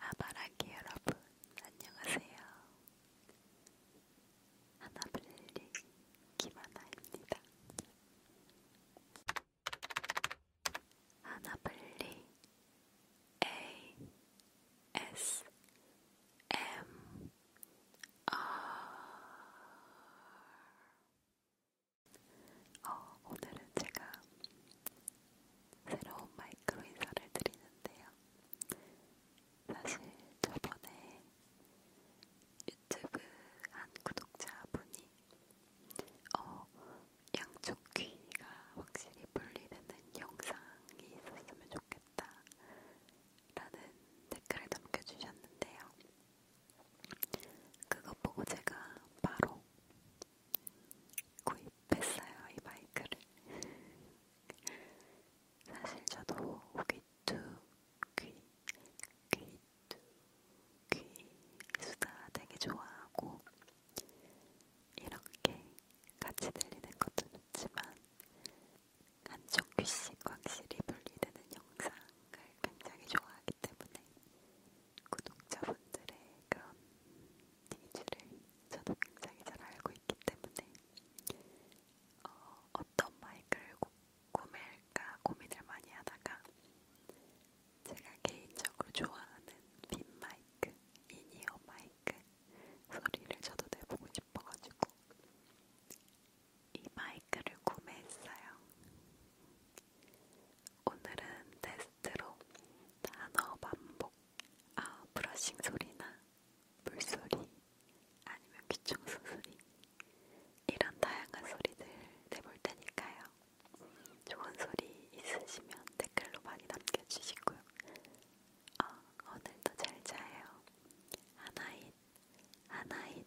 아바라기 여러분 안녕하세요. 하나블리 김하나입니다. 하나블리 A S M R 어, 오늘은 제가 새로운 마이크로 인사를 드리는데요. 사실 저번에 유튜브 한 구독자분이 어, 양쪽 귀가 확실히 분리되는 영상이 있었으면 좋겠다 라는 댓글을 남겨주셨는데요. 그거 보고 제가 바로 구입했어요 이 마이크를. 사실 저도 귀뚜 귀 귀뚜 귀 수다 되게 좋아하고 이렇게 같이 들리는 것도 좋지만 한쪽 귀씩 확실히 분리되는 영상을 굉장히 좋아하기 때문에 구독자분들의 그런 니즈를 저도 굉장히 잘 알고 있기 때문에 어, 어떤 마이크를 고, 구매할까 고민을 많이 하다가 제가 개인적으로 좋아하는 빈 마이크, 인이어 마이크 소리를 저도 내보고 싶어가지고 이 마이크를 구매했어요. 오늘은 테스트로 단어 반복, 아 브러싱 소리나 물소리, 아니면 귀청소 소리 이런 다양한 소리들 내볼 테니까요. 좋은 소리 있으시면 댓글로 많이 남겨주시고요. 어, 오늘도 잘 자요. 하나잇, 하나잇,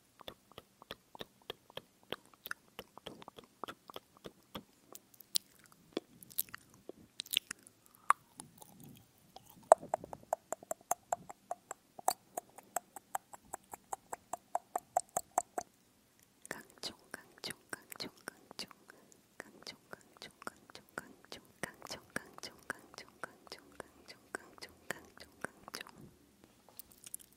강종 강종 강종 강종 강종 강종 강종 강종 강종 강종 강종 강종 강종 강종 강종 강종 강종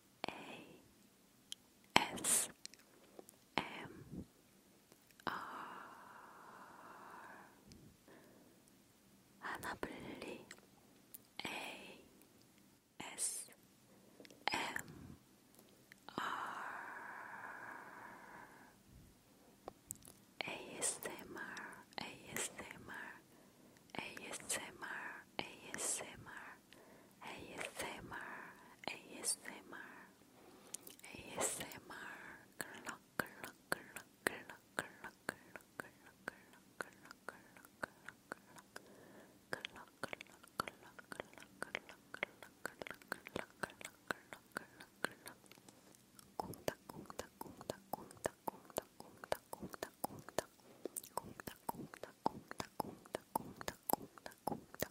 A S M R 하나 불리 A S M R ASMR ASMR ASMR ASMR ASMR, ASMR, ASMR, cluck, cluck, cluck, cluck, cluck, cluck, cluck, cluck,